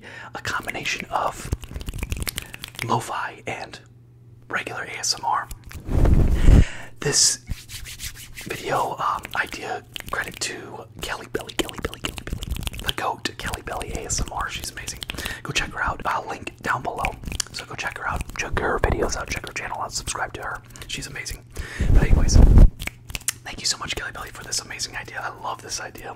be a combination of lo-fi and regular ASMR. This video um, idea credit to Kelly Belly, Kelly Belly, Kelly Belly, the goat Kelly Belly ASMR. She's amazing. Go check her out. I'll link down below. So go check her out. Check her videos out. Check her channel out. Subscribe to her. She's amazing. But anyways, thank you so much, Kelly Belly, for this amazing idea. I love this idea.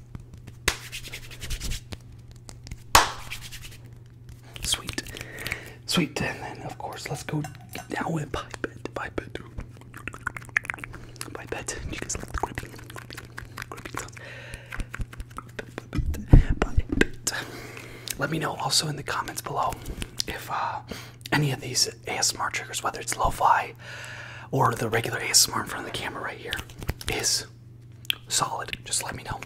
Sweet. Sweet. And then, of course, let's go down with pipette. Pipette. Pipette. Let me know also in the comments below if uh, any of these ASMR triggers, whether it's lo-fi, or the regular ASMR in front of the camera right here is solid, just let me know.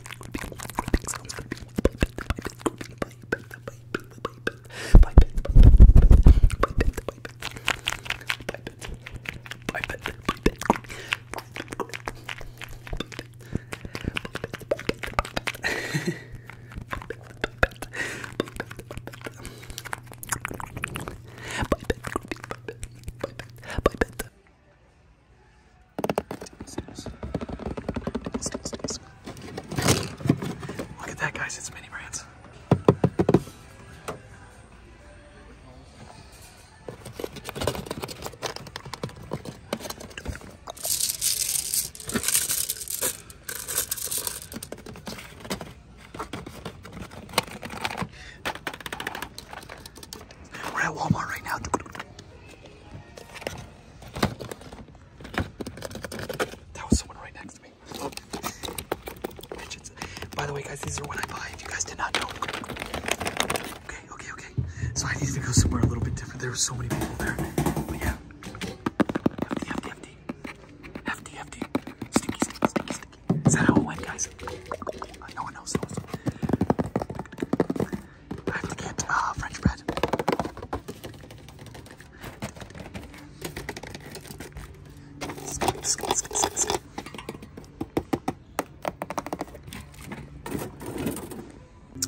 Look at that, guys. It's mini brands. We're at Walmart right now. That was someone right next to me. Oh. By the way, guys, these are what I buy if you guys did not know. Okay, okay, okay. So I needed to go somewhere a little bit different. There were so many people there. yeah. Hefty, hefty, hefty. Hefty, hefty. Stinky, stinky, is that how it went, guys? Oh, no one knows. I have to get uh, French bread.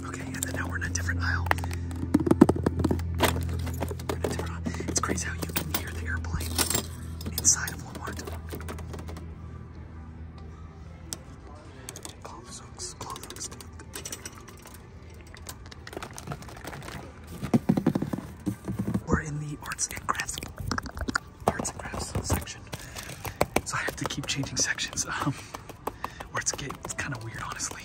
Okay, and then now we're in a different aisle. It's crazy how you can hear the airplane inside we're in the arts and crafts, arts and crafts section. So I have to keep changing sections. Um, where it's get kind of weird, honestly.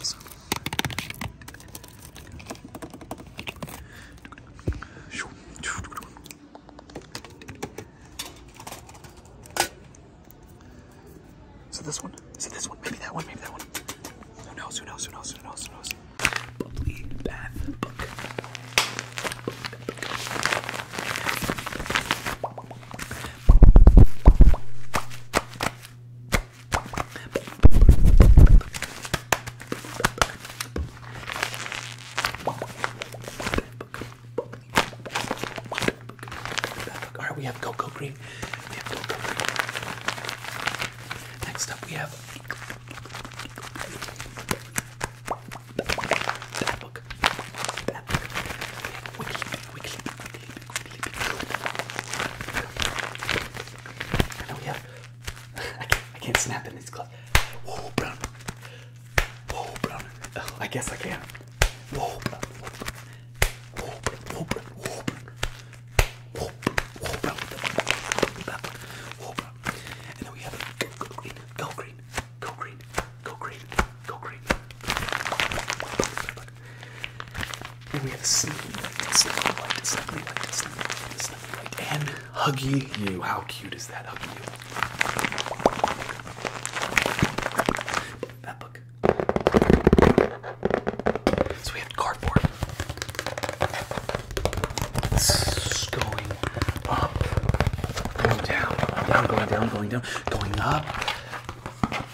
Is it this one? Is it this one? Maybe that one, maybe that one. Who knows, who knows, who knows, who knows, who knows? Bubbly bath book. book, book. All right, we have cocoa green. We have cocoa green. Next up, we have that book. That book. We have wiki, wiki, I know we have. I, can't, I can't snap in these gloves. Whoa, brown. Whoa, brown. Oh, I guess I can. Whoa, brown. Whoa, brown. Whoa, brown. Whoa, brown. Whoa, brown. Whoa, brown. And then we have a go, go green. Go green. Go green. Go green. Go green. Go green. And we have Snuggly Light, Snuggly Light, Snuggly Light, Snuggly Light, Snuggly Light, and Huggy You. How cute is that, Huggy You? That book. So we have cardboard. It's going up, going down, going down, going down, going up,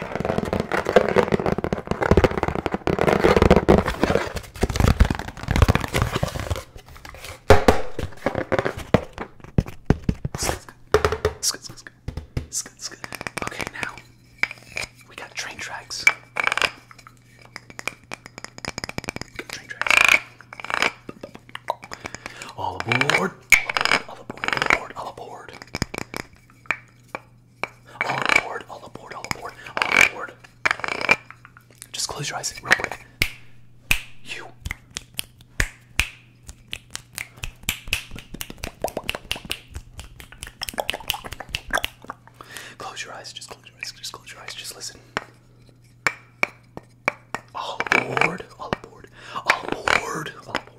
Skid, skid, skid, skid. Okay, now we got train tracks. We got train tracks. All aboard! All aboard! All aboard! All aboard! All aboard. All aboard, all aboard, all aboard, all aboard. Just close your eyes real quick. You. Close your eyes, just close your eyes, just close your eyes, just listen. All aboard, all aboard, all aboard,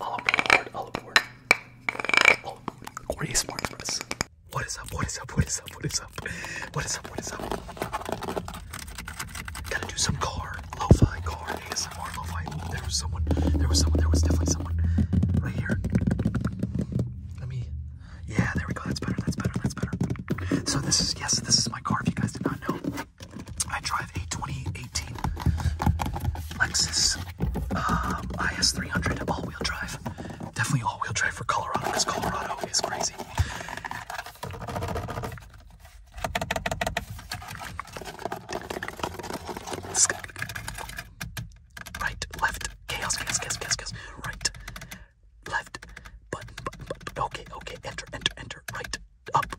All aboard, all aboard. All aboard. Corey What is up? What is up? What is up? What is up? What is up? What is up? Gotta do some car, lo car, ASMR, lo There was someone. There was someone. There was definitely someone right here. Let me. Yeah, there we go. That's better. That's better. That's better. So this is yes, this is my car. If you guys did not know, I tried drive a 2018 Lexus um, IS300 all wheel drive. Definitely all wheel drive for Colorado because Colorado is crazy. Right, left, chaos, chaos, chaos, chaos, chaos, right, left, button, button, button, okay, okay, enter, enter, enter, right, up,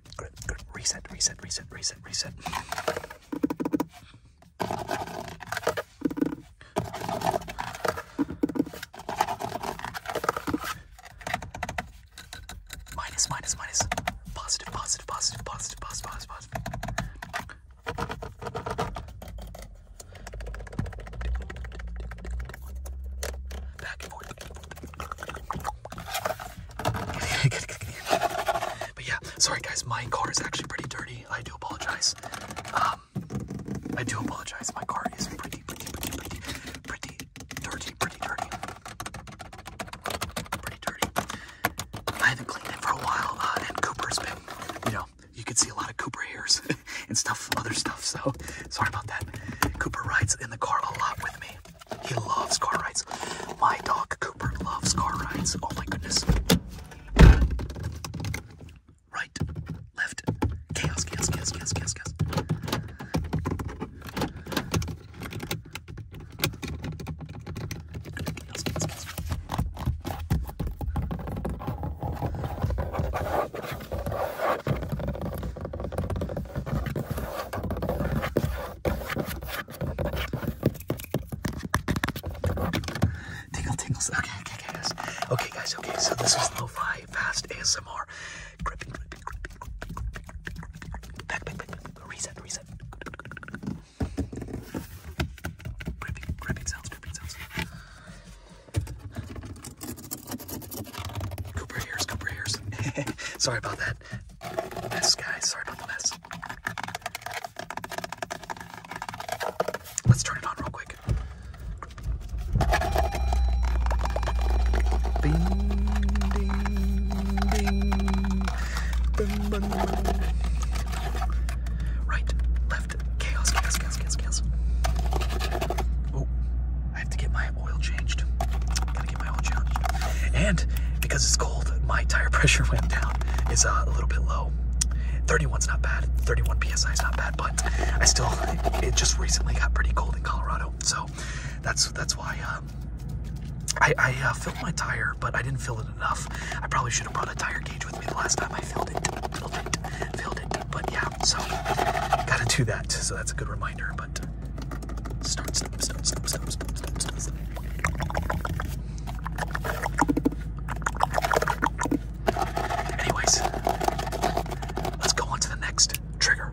grip, grip, grip, reset, reset, reset, reset, reset. Minus, minus, minus. Positive, positive, positive, positive, positive, positive, positive. Back and forth. but yeah, sorry guys, my car is actually pretty dirty. I do apologize. Um, I do apologize. My car is pretty, pretty, pretty, pretty, pretty dirty, pretty dirty, pretty dirty. I haven't cleaned it for a while, uh, and Cooper's been, you know, you can see a lot of Cooper hairs and stuff, other stuff. So sorry about that. Cooper rides in the car a lot with me. He loves car rides. My dog Cooper loves car rides. Oh my goodness. Right, left, chaos, chaos, chaos, chaos, chaos, chaos. chaos, chaos, chaos. Tingle tingles. Okay, okay, okay, guys. Okay, guys, okay. So this is lo-fi fast ASMR. Gripping, gripping, gripping, gripping, gripping, gripping, gripping. Back, back, back, back. Reset, reset. Gripping, gripping sounds, gripping sounds. Cooper ears, Cooper ears. sorry about that. Mess, guys. Sorry about the mess. Let's turn it on real quick. Right, left, chaos, chaos, chaos, chaos, chaos. Oh, I have to get my oil changed. Gotta get my oil changed. And because it's cold, my tire pressure went down. Is uh, a little bit low. 31's not bad. 31 psi is not bad, but I still it just recently got pretty cold in Colorado, so that's that's why. Um, I, uh, filled my tire, but I didn't fill it enough. I probably should have brought a tire gauge with me the last time I filled it. Filled it. Filled it. But yeah, so gotta do that. So that's a good reminder. But Start, stop, stop, stop, stop, stop, stop, stop, stop. Anyways, let's go on to the next trigger.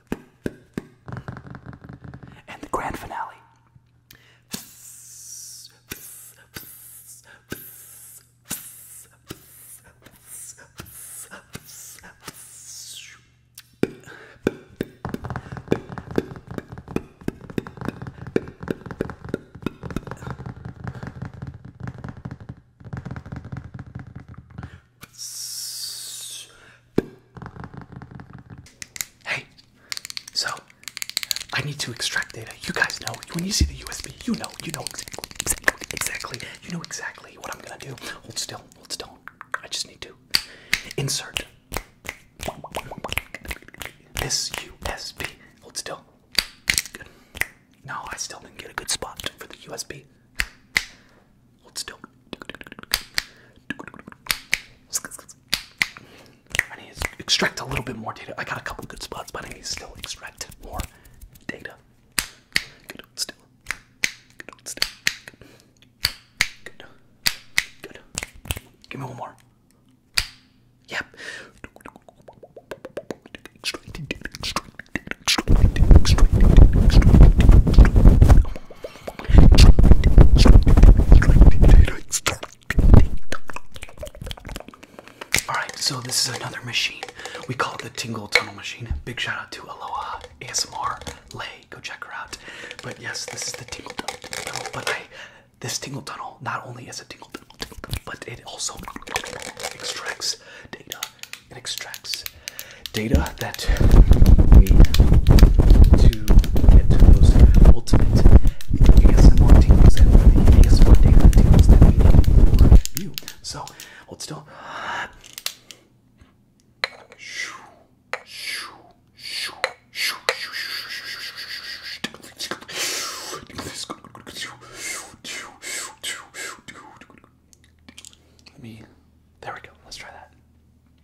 And the grand finale. Hey, so I need to extract data. You guys know when you see the USB, you know, you know exactly, exactly, you know exactly what I'm gonna do. Hold still, hold still. I just need to insert this USB. Hold still. No, I still didn't get a good spot for the USB. Hold still. I need to extract a little bit more data. I got a couple good spots, but I need to still extract more data. Good, still. Good, still. Give me one more. Yep. Oh Alright, so this is another machine. We call it the Tingle Tunnel Machine. Big shout out to Aloha ASMR Lay. Go check her out. But yes, this is the Tingle Tunnel. But this Tingle Tunnel not only is a Tingle Tunnel, but it also extracts data. It extracts data that we need to get those ultimate ASMR tingles and ASMR data tingles that we need for you. So hold still. Let me. There we go. Let's try that.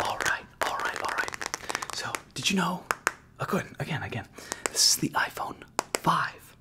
All right, all right, all right. So, did you know? Again, oh, again, again. This is the iPhone 5.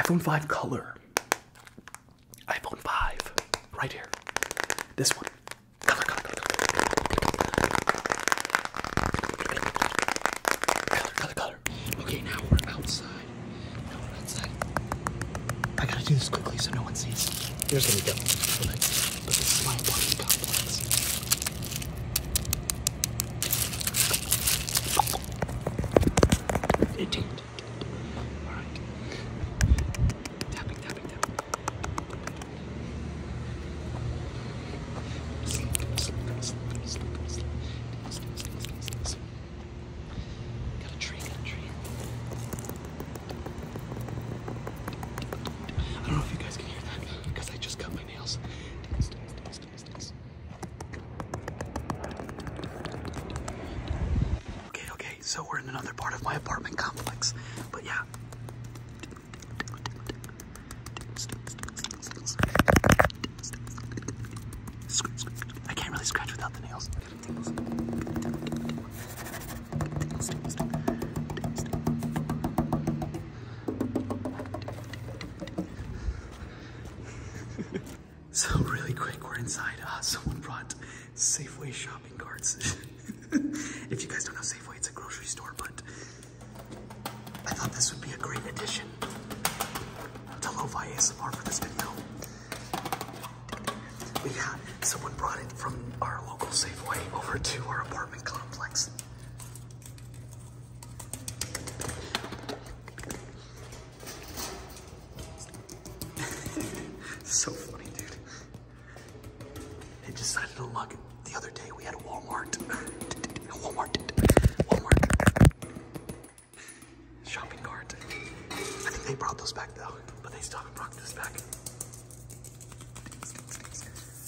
iPhone 5 color. iPhone 5, right here. This one. Color, color, color, Okay, now we're outside. Now we're outside. I gotta do this quickly so no one sees. Here's what we go. It changed. Alright. Tapping, tapping, tapping. Sleep, sleep, sleep, sleep, sleep. Sleep, sleep, sleep, sleep, sleep. Got a tree, got a tree. I don't know if you guys can hear that because I just cut my nails. Dance, dance, dance, dance, dance. Okay, okay, so we're in another part of my apartment complex, but yeah. I can't really scratch without the nails. so really quick, we're inside. Uh, someone brought Safeway shopping carts. if you guys don't know Safeway, it's a grocery store, but I thought this would be a great addition to Lo-Fi ASMR for this video. someone brought it from our local Safeway over to our apartment complex. so funny, dude. They decided to look the other day. We had a Walmart. Walmart. Walmart. Shopping cart. I think they brought those back though, but they still haven't brought this back.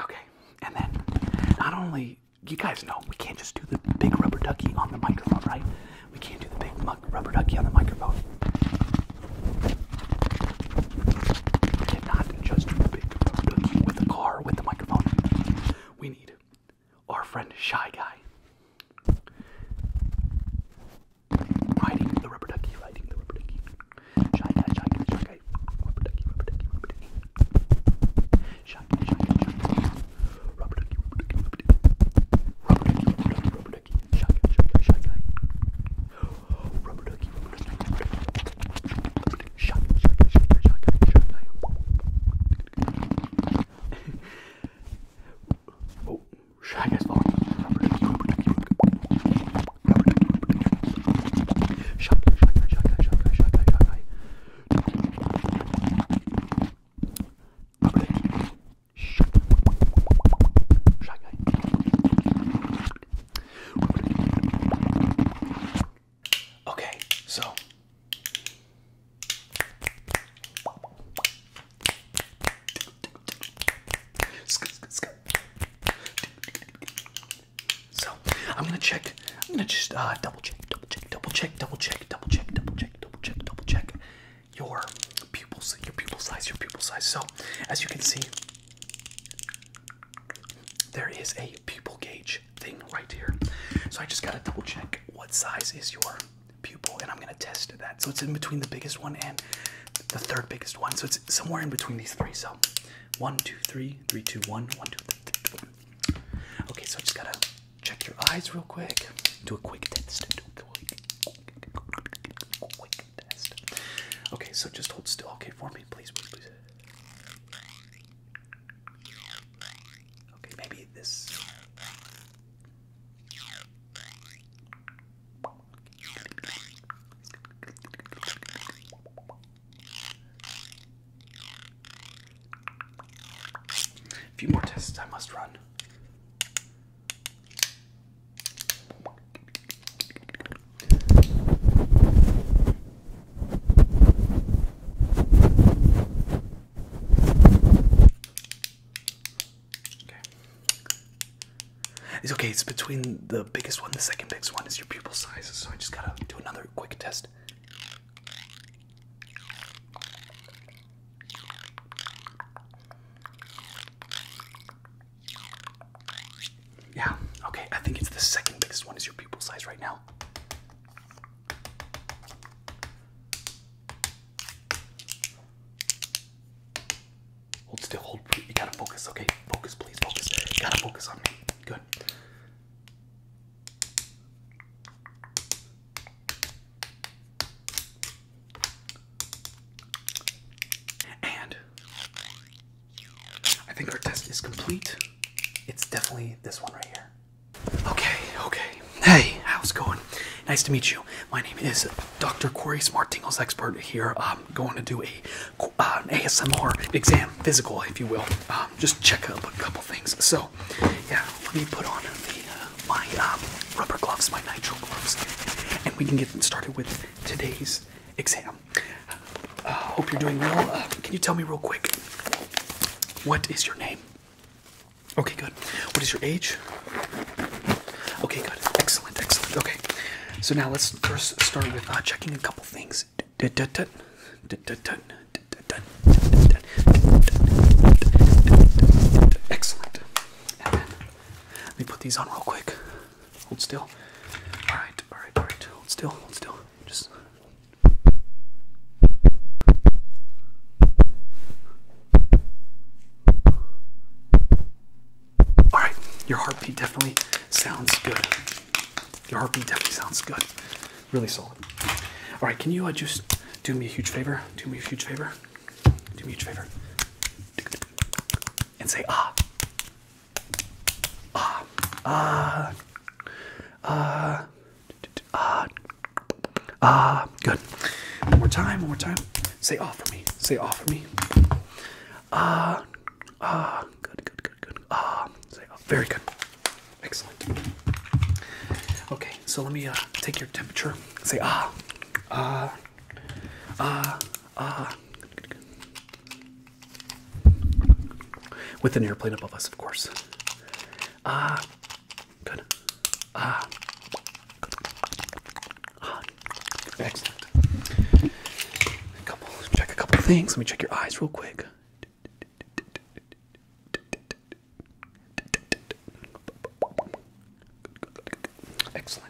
Okay, and then not only you guys know we can't just do the big rubber ducky on the microphone, right? We can't do the big rubber ducky on the microphone. Cannot just big photos with a car with the microphone. We need our friend Shy Guy riding the rubber ducky, riding the rubber ducky. Shy Guy, Shy Guy, Shy Guy, rubber ducky, rubber ducky, rubber ducky. Shy Shy Shy rubber ducky, rubber ducky, rubber ducky, rubber ducky, ducky, shy guy, shy guy, shy guy. Oh, rubber ducky, rubber ducky, rubber ducky. Shy guy, shy guy, shy guy, shy guy, shy guy. oh, shy guy's falling. Rubber ducky, rubber ducky, rubber ducky, rubber ducky. Shy guy, shy guy, shy guy, shy guy, shy guy, oh, shy guy. Rubber ducky. Shy guy. Shy guy. Okay, so so I'm gonna check. I'm gonna just uh, double check, double check, double check, double check, double check, double check, double check, double check your pupils, your pupil size, your pupil size. So as you can see, there is a pupil gauge thing right here. So I just gotta double check what size is your pupil and I'm gonna test that. So it's in between the biggest one and the third biggest one. So it's somewhere in between these three. So one, two, three, three, two, one, one, two, three, three, two, one. Okay, so I just gotta check your eyes real quick. Do a quick test. Okay, so just hold still. Okay, for me, please, Okay, maybe this. few more tests I must run. It's okay, it's between the biggest one, the second biggest one is your pupil size, so I just gotta do another quick test. Yeah, okay, I think it's the second biggest one is your pupil size right now. Hold still, hold. You gotta focus, okay? Focus, please, focus. You gotta focus on me. Good. And I think our test is complete. It's definitely this one right here. Okay, okay. Hey, how's it going? Nice to meet you. My name is Dr. Corey Smart Tingles Expert here. I'm going to do a uh, ASMR exam, physical, if you will. Um, just check up a couple things. So, yeah, let me put on uh, my um, rubber gloves, my nitrile gloves, and we can get started with today's exam. Uh, hope you're doing well. Uh, can you tell me real quick what is your name? Okay, good. What is your age? Okay, good. Excellent, excellent. Okay, so now let's first start with uh, checking a couple things. Excellent. let me put these on real quick. Hold still. Alright, alright, alright. Hold still, hold still. Just. Alright, your heartbeat definitely sounds good. Your heartbeat definitely sounds good. Really solid. Alright, can you uh, just do me a huge favor? Do me a huge favor? Do me a huge favor. And say ah. Ah, ah, ah, ah, ah. Good. One more time. One more time. Say off ah for me. Say off ah for me. Ah, ah. Good. Good. Good. Good. Ah. Say off. Ah. Very good. Excellent. Okay. So let me uh, take your temperature. Say ah, ah, ah, ah. Good, good, good. With an airplane above us, of course. Ah, good. Ah, uh, excellent. couple, check a couple things. Let me check your eyes real quick. Excellent.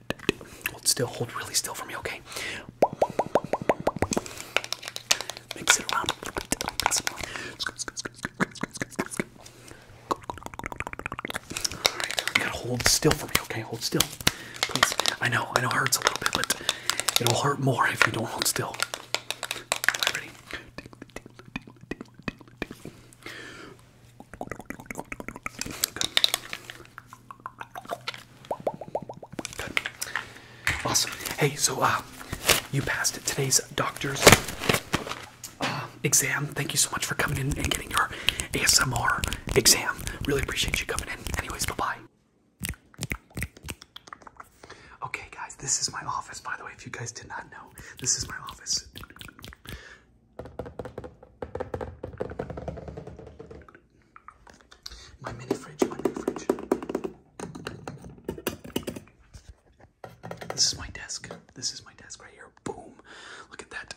Hold still, hold really still for me, okay? Mix it around. Alright, you gotta hold still for me, okay? Hold still. Please. I know, I know it hurts a little bit, but it'll hurt more if you don't hold still. All right, ready? Awesome. Hey, so uh, you passed today's doctor's uh, exam. Thank you so much for coming in and getting your ASMR exam. Really appreciate you coming in. Anyways, bye bye. Okay, guys, this is my office, by the way, if you guys did not know. This is my office. My mini fridge, my mini fridge. This is my desk. This is my desk right here. Boom. Look at that.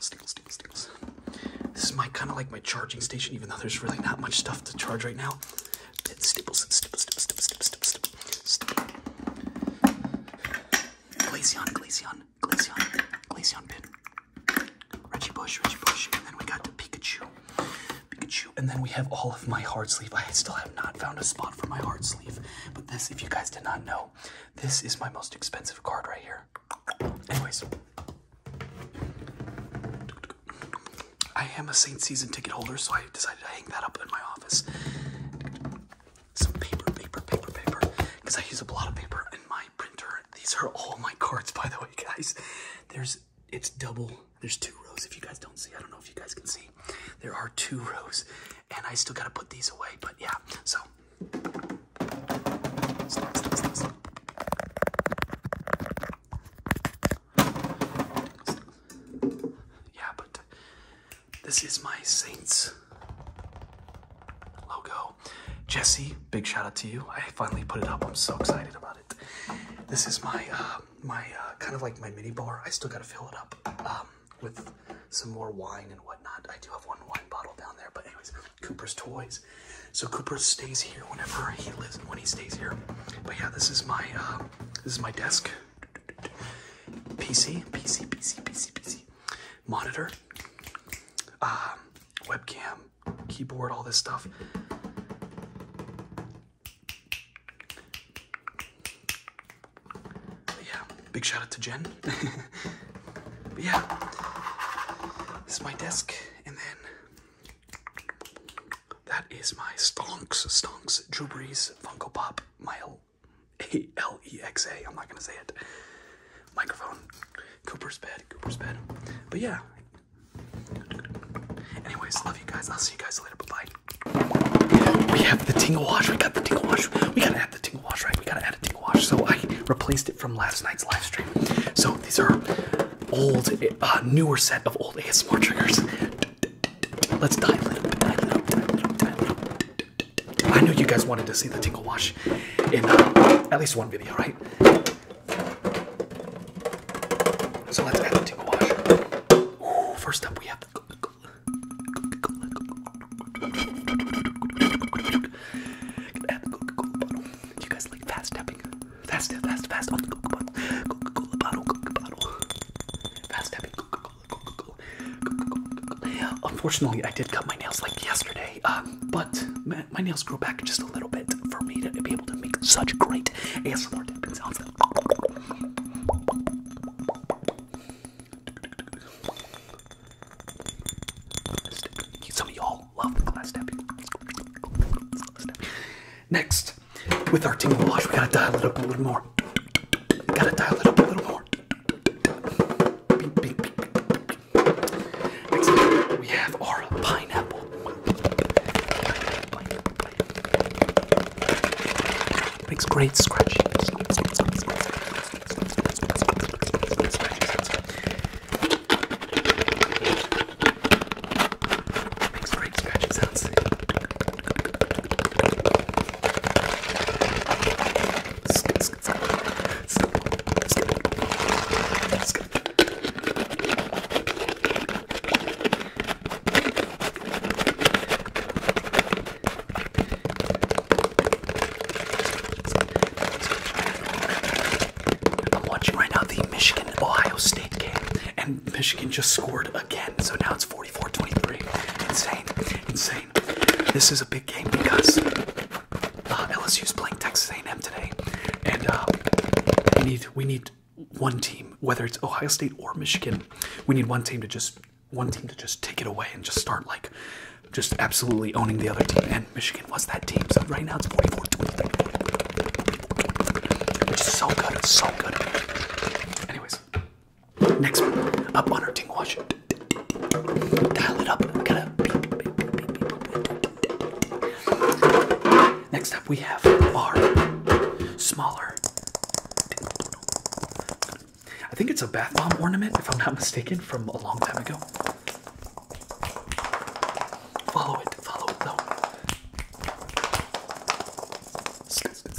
Steals, steals, steals. This is my kind of like my charging station, even though there's really not much stuff to charge right now. Stipple, stipple, stipple, stipple, stipple, stipple, stipple. Glaceon, Glaceon, Glaceon, Glaceon pin. Reggie Bush, Reggie Bush, and then we got to Pikachu. Pikachu, and then we have all of my heart sleeve. I still have not found a spot for my heart sleeve, but this, if you guys did not know, this is my most expensive card right here. Anyways. I am a Saint season ticket holder, so I decided to hang that up in my office. Some paper, paper, paper, paper, because I use a lot of paper in my printer. These are all my cards, by the way, guys. There's it's double. There's two rows. If you guys don't see, I don't know if you guys can see. There are two rows, and I still gotta put these away. But yeah, so. Yeah, but this is my Saints logo. Jesse, big shout out to you. I finally put it up. I'm so excited about it. This is my uh, my uh, kind of like my mini bar. I still gotta fill it up um, with some more wine and whatnot. I do have one wine bottle down there, but anyways, Cooper's toys. So Cooper stays here whenever he lives when he stays here. But yeah, this is my uh, this is my desk. PC, PC, PC, PC, PC. Monitor, um, webcam, keyboard, all this stuff. yeah, big shout out to Jen. but yeah, this is my desk, and then that is my Stonks, Stonks, Drew Brees, Funko Pop, my A L E -E I'm not gonna say it, microphone, Cooper's bed, Cooper's bed, but yeah, anyways, love you guys, I'll see you guys later, bye-bye. We have the tingle wash, we got the tingle wash, we gotta add the tingle wash, right, we gotta add a tingle wash, so I replaced it from last night's live stream, so these are old, uh, newer set of old ASMR triggers. Let's dive. it up, dial it I knew you guys wanted to see the tingle wash in uh, at least one video, right? So let's add the tingle wash. first up, we have the Coca-Cola. Add You guys like fast tapping? Fast, fast, fast on the bottle. bottle. Unfortunately, I did cut my nails like yesterday, uh, but my, nails grew back just a little bit for me to be able to make such great ASMR tapping sounds. Some of y'all love glass tapping. Next, with our tingle wash, we gotta dial it up a little more. We gotta dial it up a little more. Next we have our pineapple. Makes great scratch. Makes great scratching sounds. I'm watching right now the Michigan Ohio State game, and Michigan just scored again, so now it's 4 44 Insane. Insane. This is a big game because uh, LSU is playing Texas A&M today, and uh, we need we need one team, whether it's Ohio State or Michigan, we need one team to just one team to just take it away and just start like just absolutely owning the other team. And Michigan was that team. So right now it's 44 23. Which is so good. It's so good. Anyways, Next up our ting wash. Dial it up. We Next up, we have our smaller. I think it's a bath bomb ornament, if I'm not mistaken, from a long time ago. Follow it, follow it though.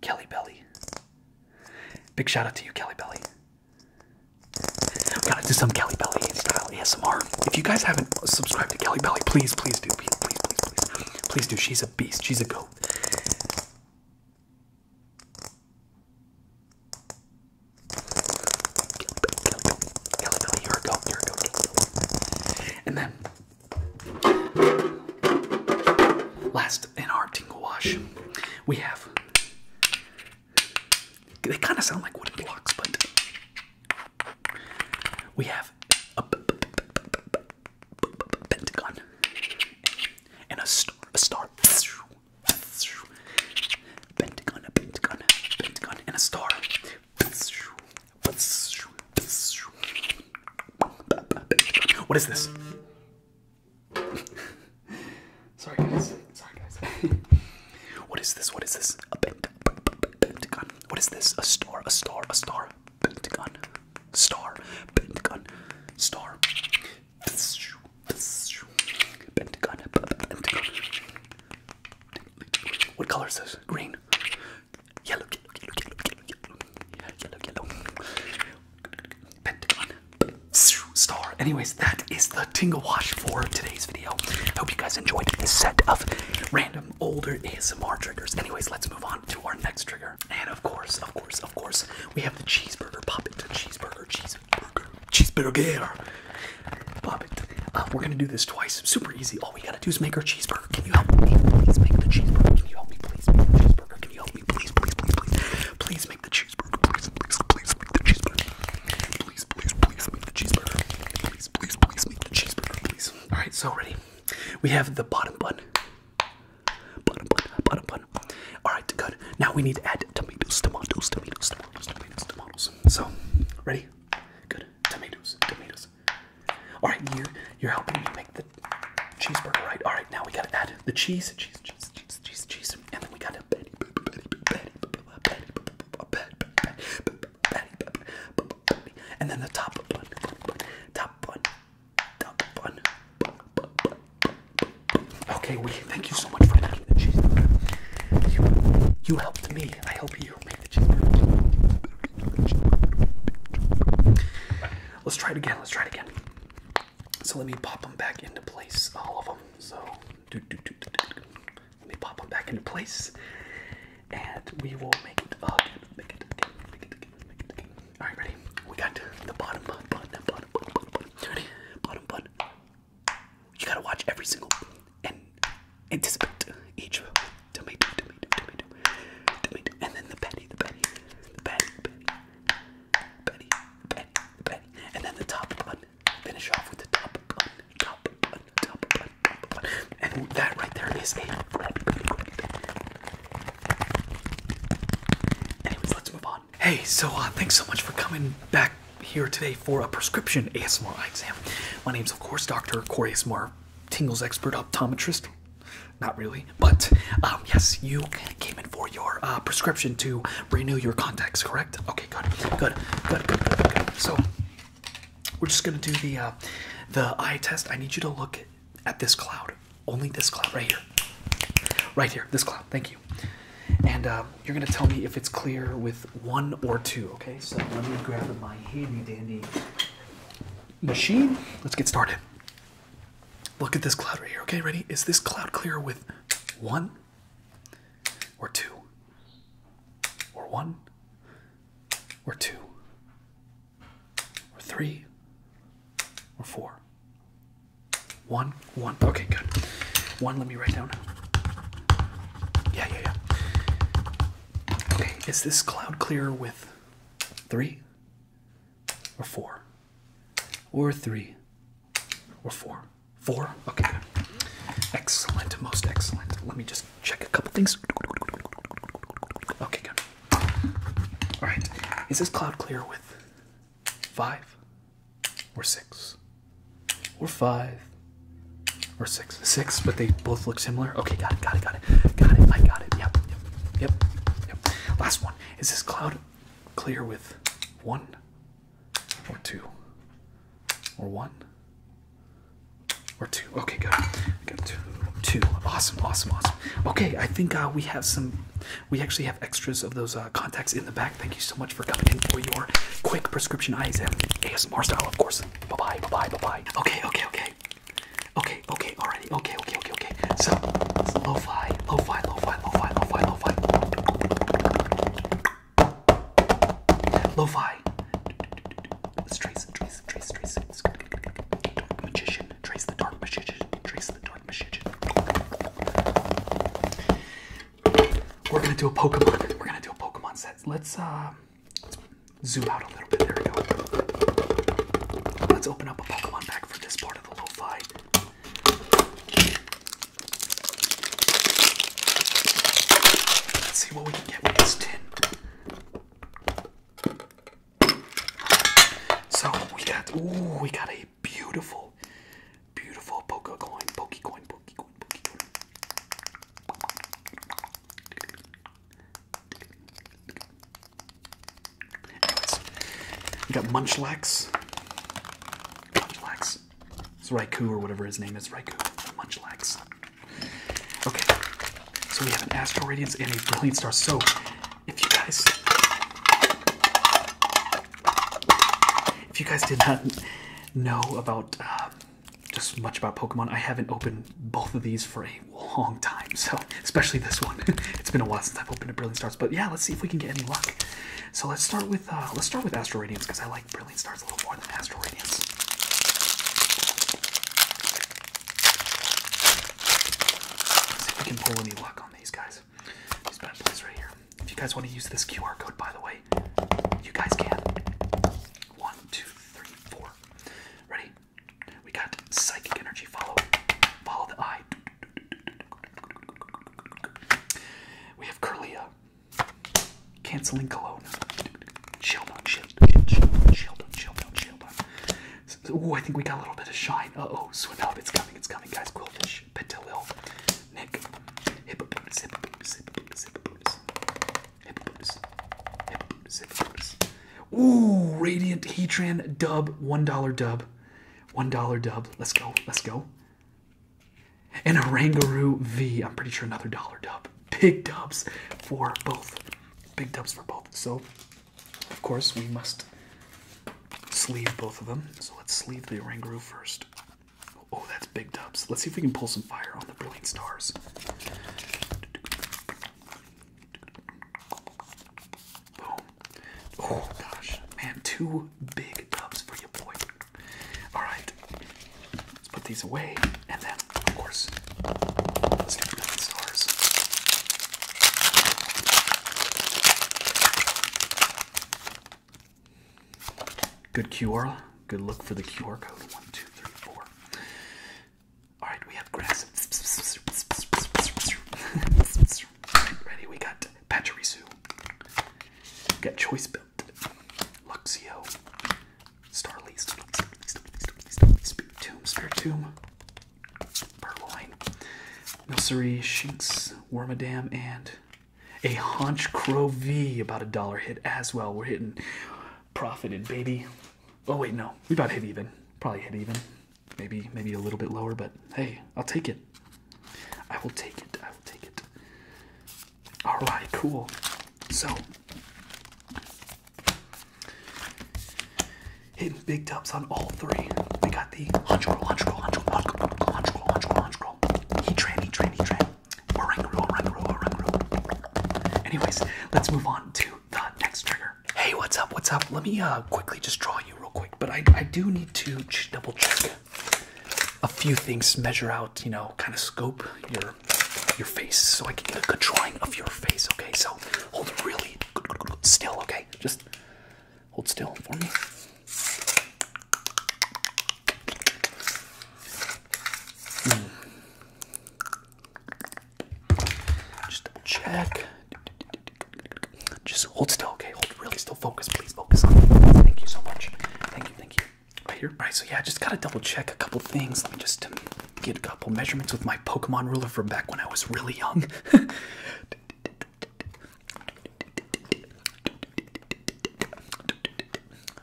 Kelly Belly. Big shout out to you, Kelly Belly. We gotta do some Kelly Belly style ASMR. If you guys haven't subscribed to Kelly Belly, please, please do. Please, please, please, please. do. She's a beast. She's a goat. Kelly Belly, you're a goat. You're a goat. And then Last in our tingle wash, we have. They kind of sound like wooden blocks, but we have a pentagon and a star. A star. Pentagon, a pentagon, a pentagon, and a star. What is this? Sorry guys. Sorry guys. what is this? What is this? A pentagon. What is this? A star. A star. A star. Pentagon. Star. Pentagon. Star. Pentagon. What color is this? Green. Yellow, yellow, yellow, yellow, yellow, yellow, yellow. Pentagon. Star. Anyways, that is the Tingle Wash for today's video. Hope you guys enjoyed this set of random older ASMR triggers. Anyways, let's move on to our next trigger. And of course, of course, of course, we have the cheeseburger. Pop it. Cheeseburger, cheeseburger, cheeseburger. Pop it. Uh, we're gonna do this twice. Super easy. All all we gotta do is make our cheeseburger. Can you help me? Please make the cheeseburger. Can you help me? Please make the cheeseburger. Can you help me? Please, please, please, please. Please make the cheeseburger. Please, please, please make the cheeseburger. Please, please, please make the cheeseburger. Please, please, please make the cheeseburger. Please. All right, so ready. We have the bottom bun. Bottom bun, bottom bun. All right, good. Now we need to add tomatoes, tomatoes, tomatoes, tomatoes, tomatoes, tomatoes. So, ready? Good. Tomatoes, tomatoes, all right, you you're helping me make the cheeseburger, right? All right, now we gotta add the cheese, cheese, cheese, cheese, cheese, cheese, and then we gotta Betty, Betty, Betty, Betty, Betty, and then the top bun, top bun, top bun. Okay, we thank you so much for making the cheeseburger. You you helped me me. I hope you made the cheeseburger. Let's try it again. Let's try it again. So let me pop them back into place, all of them. So do, do, do, do, do. let me pop them back into place, and we will make it again. Make it again. Make it again. Make it again. All right, ready? We got the bottom button. Bottom button. Bottom button. Ready? Bottom button. You gotta watch every single and anticipate each tomato, tomato, tomato, tomato, and then the patty, the patty, the patty, patty, patty, patty, and then the top bun. Finish off with the top bun, top bun, top bun, top bun, and that right there is a. Anyways, let's move on. Hey, so uh, thanks so much for coming back here today for a prescription ASMR eye exam. My name's of course Dr. Corey ASMR Tingle's expert optometrist. Not really, but um, yes, you came in for your uh, prescription to renew your contacts, correct? Okay, good, good, good, good, good, So we're just gonna do the uh, the eye test. I need you to look at this cloud, only this cloud right here, right here, this cloud. Thank you. And uh, you're gonna tell me if it's clear with one or two. Okay, so let me grab my handy dandy machine. Let's get started. Look at this cloud right here. Okay, ready? Is this cloud clear with one or two? Or one or two or three or four? One, one. Okay, good. One, let me write down. Yeah, yeah, yeah. Okay, is this cloud clear with three or four or three or four four okay excellent most excellent let me just check a couple things okay good all right is this cloud clear with five or six or five or six six, six, but they both look similar. Okay, got it, got it, got it, got it. I got it. Yep, yep, yep, yep. Last one is this cloud clear with one or two or one or two. Okay, good. Got two, two. Awesome, awesome, awesome. Okay, I think uh, we have some. We actually have extras of those uh, contacts in the back. Thank you so much for coming in for your quick prescription eye ASMR style, of course. Bye bye, bye bye, bye bye. Okay, okay, okay. Okay, okay, alrighty, okay, okay, okay, okay. So lo-fi, lo-fi, lo-fi, lo-fi, lo-fi, lo-fi. Lo-fi. Trace, trace, trace, trace. Dark magician. Trace the dark magician. Trace the dark magician. We're gonna do a Pokemon. We're gonna do a Pokemon set. Let's um Let's zoom out a little bit. There we go. Let's open up a Pokemon pack for this part of the lo-fi. Let's see what we can get with this tin. So we got ooh, we got a beautiful, beautiful Poke coin, Poke coin, Poke coin, we got Munchlax. Munchlax. It's Raikou or whatever his name is. Raikou. Munchlax. Okay. So we have an Astral Radiance and a Brilliant Star. So, if you guys... If you guys did not know about... Um, just much about Pokemon, I haven't opened both of these for long time. So especially this one, it's been a while since I've opened a Brilliant Stars. But yeah, let's see if we can get any luck. So let's start with uh, let's start with Astral Radiance because I like Brilliant Stars a little more than Astral Radiance. Let's see if we can pull any luck on these guys. These bad boys right here. If you guys want to use this QR code, by the way, you guys can. One, two, three, four. Ready? energy. We got psychic energy. Follow, follow the eye. We have Curlia, canceling Kelowna. Shield on, shield, shield, shield on, shield on, shield on, shield on. Ooh, I think we got a little bit of shine. Uh oh, swim up, it's coming, it's coming, guys. Quillfish, Petalil, Nick, Hippopotamus, Hippopotamus, Hippopotamus, Hippopotamus, Hippopotamus, Hippopotamus, Hippopotamus, Ooh, Radiant Heatran dub, $1 dub. $1 dub. Let's go. Let's go. And a Rangaroo V. I'm pretty sure another dollar dub. Big dubs for both. Big dubs for both. So, of course, we must sleeve both of them. So let's sleeve the Rangaroo first. Oh, that's big dubs. Let's see if we can pull some fire on the Brilliant Stars. Boom. Oh gosh. Man, two big dubs for you, boy. Alright. Let's put these away. And then, of course, let's get the stars. Good QR. Good look for the QR code. One, two, three, four. Alright, we have grass. Ready, we got Pachirisu. We got Choice Belt. Luxio. Starlease. Tomb. Spirit Tomb. Purloin. Milcery, Shinx, Wormadam, and a Haunch Crow V. About a dollar hit as well. We're hitting profited, baby. Oh, wait, no. We about hit even. Probably hit even maybe maybe a little bit lower, but hey, I'll take it. I will take it. I will take it. All right, cool. So hitting big dubs on all three. We got the hunch roll, hunch roll, hunch roll, hunch roll, hunch roll, hunch roll, hunch roll. He train, he train, he train. Orang roll, orang roll, orang roll. Anyways, let's move on to the next trigger. Hey, what's up? What's up? Let me uh, quickly just draw you real quick, but I, I do need to ch double check a few things, measure out, you know, kind of scope your your face so I can get a good drawing of your face, okay? So hold really still, okay? Just hold still for me. Hmm. Just double check. Just hold still, okay? Hold really still. Focus, please focus on me. Thank you so much. Thank you, thank you. Right here. Alright, so yeah, I just gotta double check a couple things. Let me just um, get a couple measurements with my Pokemon ruler from back when I was really young.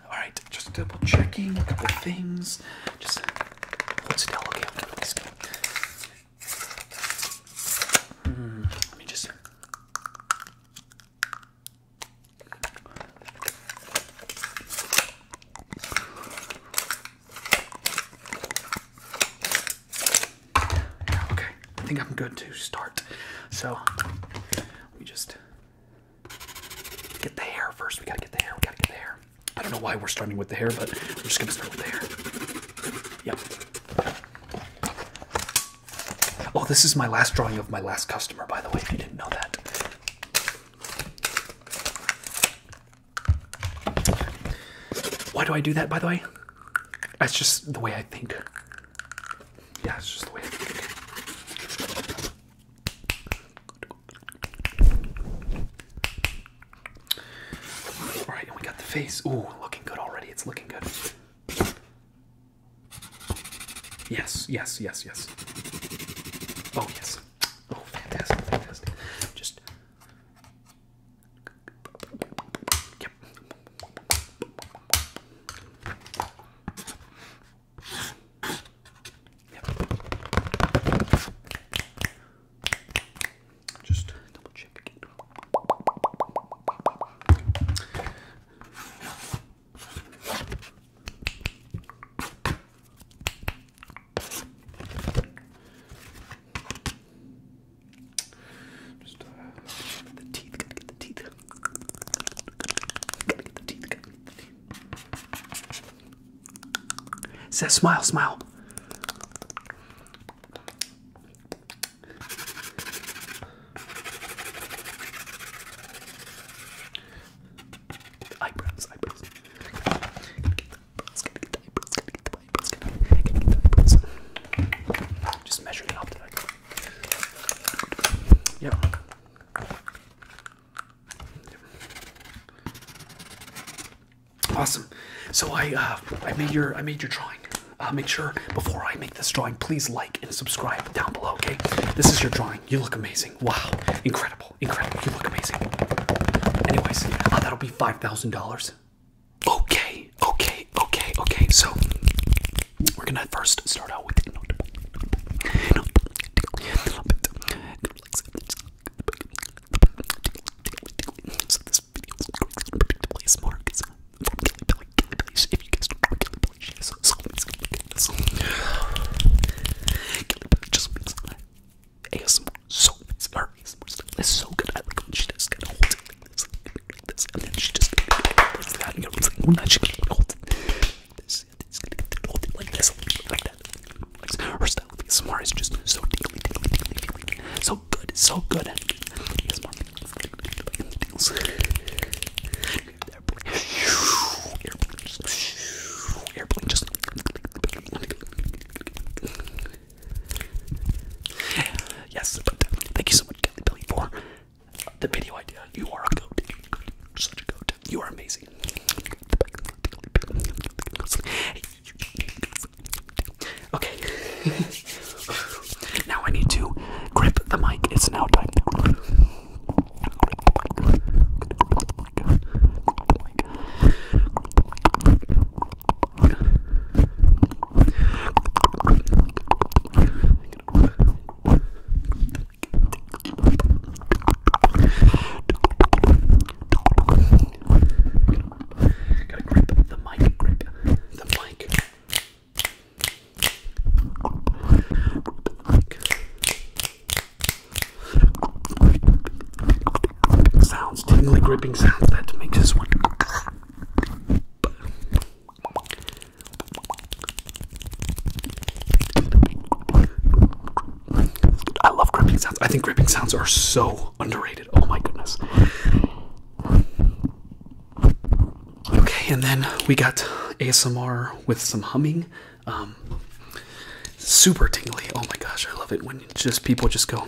Alright, just double checking a couple things. Just hold still, okay? okay let me just. Okay, I think I'm good to start. So, we just get the hair first. We gotta get the hair. We gotta get the hair. I don't know why we're starting with the hair, but we're just gonna start with the hair. Yeah. Oh, this is my last drawing of my last customer, by the way, if you didn't know that. Why do I do that, by the way? That's just the way I think. Yeah, it's just the way I think. All right, and we got the face. Ooh, looking good already. It's looking good. Yes, yes, yes, yes. Oh, yes. Oh, fantastic, fantastic. Just. Yep. Yep. Just double check again. Just uh, the teeth, gotta get the teeth. Gotta get the teeth, gotta get the teeth. says smile, smile. The eyebrows, eyebrows. Just measure it up to that. Yep. yep. Awesome. So I uh, I made your I made your drawing. make sure before I make this drawing, please like and subscribe down below. Okay, this is your drawing. You look amazing. Wow, incredible, incredible. You look amazing. Anyways, uh, that'll be five thousand dollars. Okay, okay, okay, okay. So we're gonna first start out with. So this video is predictably smart because if you guys don't know Kelly Billy, she is so just makes ASMR so her ASMR stuff is so good. I like when she just kind of holds it like this, like this, and then she just does that, and you know, it's like, well, she can hold it like this, and it's gonna hold it like this, like that. Her about the is just so tingly, tingly, tingly, tingly, so good, so good. Yes, thank you so much, Kelly Billy, for the video idea. You are a goat. You're amazing. Okay. now I need to grip the mic. It's now time to grip Gotta grip the mic, grip the mic. Sounds, tingly gripping sounds that makes this I love gripping sounds. I think gripping sounds are so underrated. Oh my goodness. Okay, and then we got ASMR with some humming. Um, super tingly. Oh my gosh, I love it when just people just go.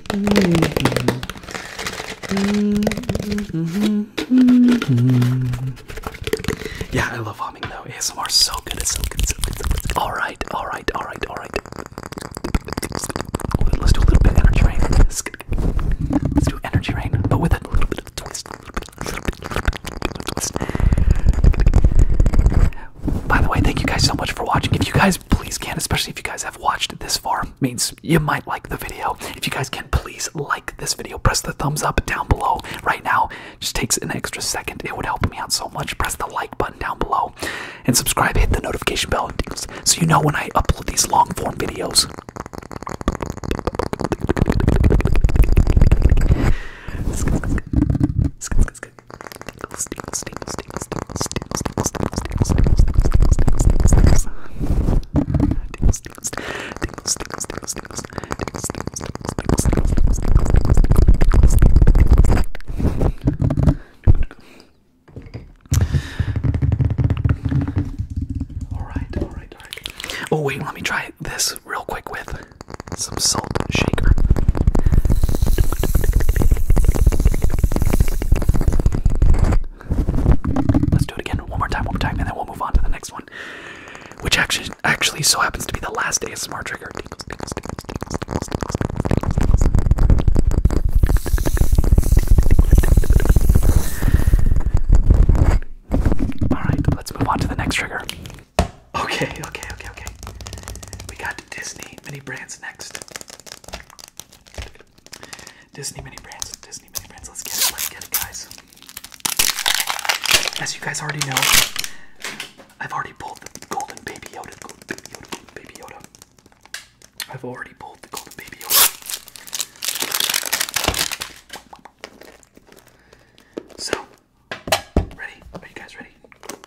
Yeah, I love humming though. ASMR so good. It's so good. So good. So good. All right. All right. All right. All right. Let's do a little bit of energy rain. Let's do energy rain, but with a little bit of twist. A little bit, a little bit, a little bit, a little bit twist. By the way, thank you guys so much for watching. If you guys please can, especially if you guys have have watched this far means you might like the video. If you guys can, please like this video. Press the thumbs up down below right now. just takes an extra second. It would help me out so much. Press the like button down below and subscribe. Hit the notification bell so you know when I upload these long form videos. Oh wait, let me try this real quick with some salt shaker. Let's do it again one more time, one more time, and then we'll move on to the next one. Which actually actually so happens to be the last ASMR trigger. Tingles, tingles, tingles, tingles, tingles, tingles, tingles, tingles, tingles. Alright, let's move on to the next trigger. Okay, okay, okay, okay. We got Disney mini brands next. Disney mini brands, Disney mini brands. Let's get it, let's get it, guys. As you guys already know, I've already pulled the golden baby Yoda, golden baby Yoda, golden baby Yoda. I've already pulled the golden baby Yoda. So, ready? Are you guys ready?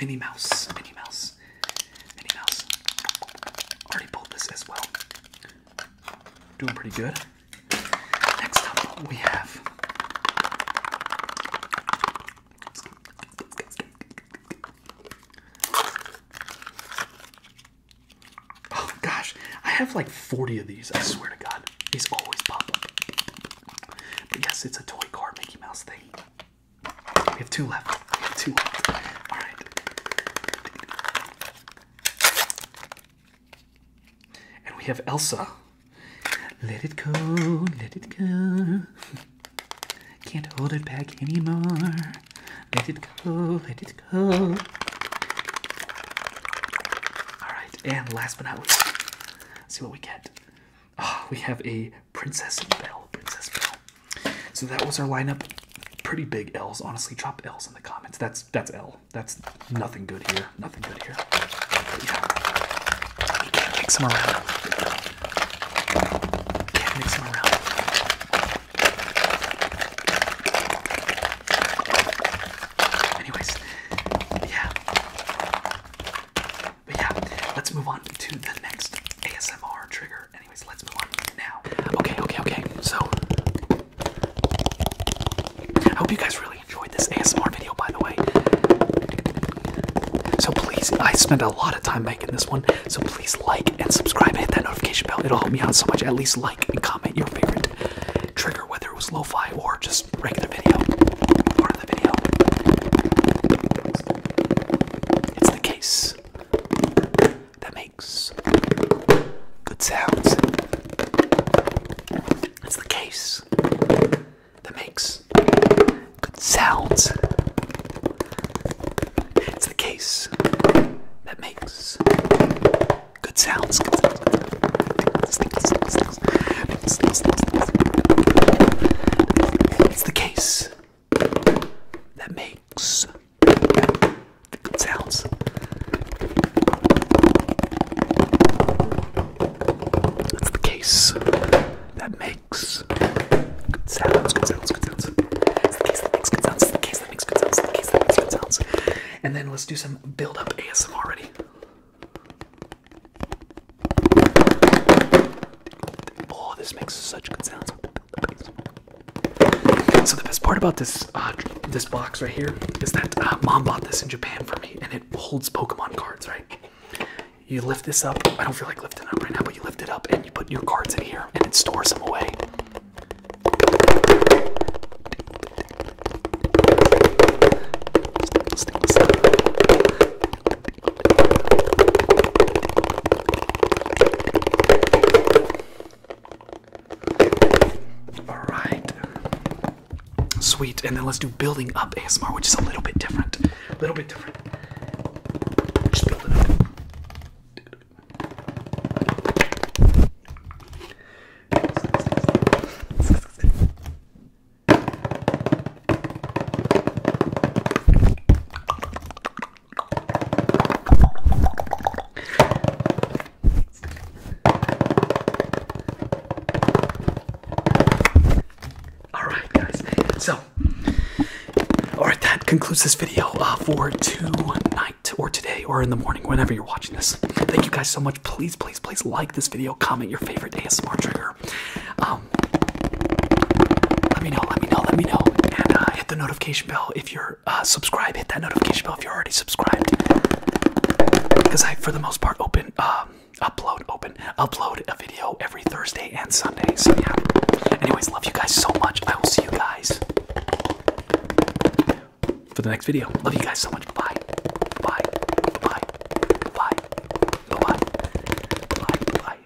Minnie Mouse, Minnie Mouse, Minnie Mouse. Already pulled this as well. Doing pretty good. Next up, we have. Oh gosh, I have like 40 of these, I swear to God. These always pop up. But yes, it's a toy car Mickey Mouse thing. We have two left. We have two left. All right. And we have Elsa. Let it go, let it go. Can't hold it back anymore. Let it go, let it go. All right, and last but not least, see what we get. Ah, we have a Princess Belle. Princess Belle. So that was our lineup. Pretty big L's, honestly. Drop L's in the comments. That's that's L. That's nothing good here. Nothing good here. yeah. mix them around. Can't mix them around. Anyways, yeah. But yeah, let's move on to the next ASMR trigger. Anyways, let's move on now. Okay, okay, okay. So, I hope you guys really enjoyed this ASMR video, by the way. So please, I spent a lot of time making this one. So please like and subscribe, hit that notification bell. It'll help me out so much. At least like and comment your favorite trigger, whether it was lo-fi or just regular video of It's the case that makes good sounds. It's the case that makes good sounds. It's the case that makes good sounds. It's the case that makes good sounds. That's the case that makes good sounds, good sounds, sounds. that makes good sounds, that makes sounds, that makes good sounds. And then let's do some build up ASMR already. Oh, this makes such good sounds. So the best part about this uh, this box right here is that uh, mom bought this in Japan for me, and it holds Pokemon cards. Right? You lift this up. I don't feel like lifting it up right now, but you lift it up and you put your cards in here, and it stores them away. All right. Sweet. And then let's do building up ASMR, which is a little bit different. A little bit different. Just build it up. All right, guys. So, all right, that concludes this video uh, for tonight or today or in the morning, whenever you're watching this. Thank you guys so much. Please, please, please like this video. Comment your favorite ASMR trigger. Um, let me know, let me know, let me know, and uh, hit the notification bell if you're uh, subscribed. Hit that notification bell if you're already subscribed, because I, for the most part, open, um, upload, open, upload a video every Thursday and Sunday. So yeah. Anyways, love you guys so much. I will see you guys for the next video. Love you guys so much. Bye. Bye. Bye. Bye. Bye. Bye. Bye. Bye.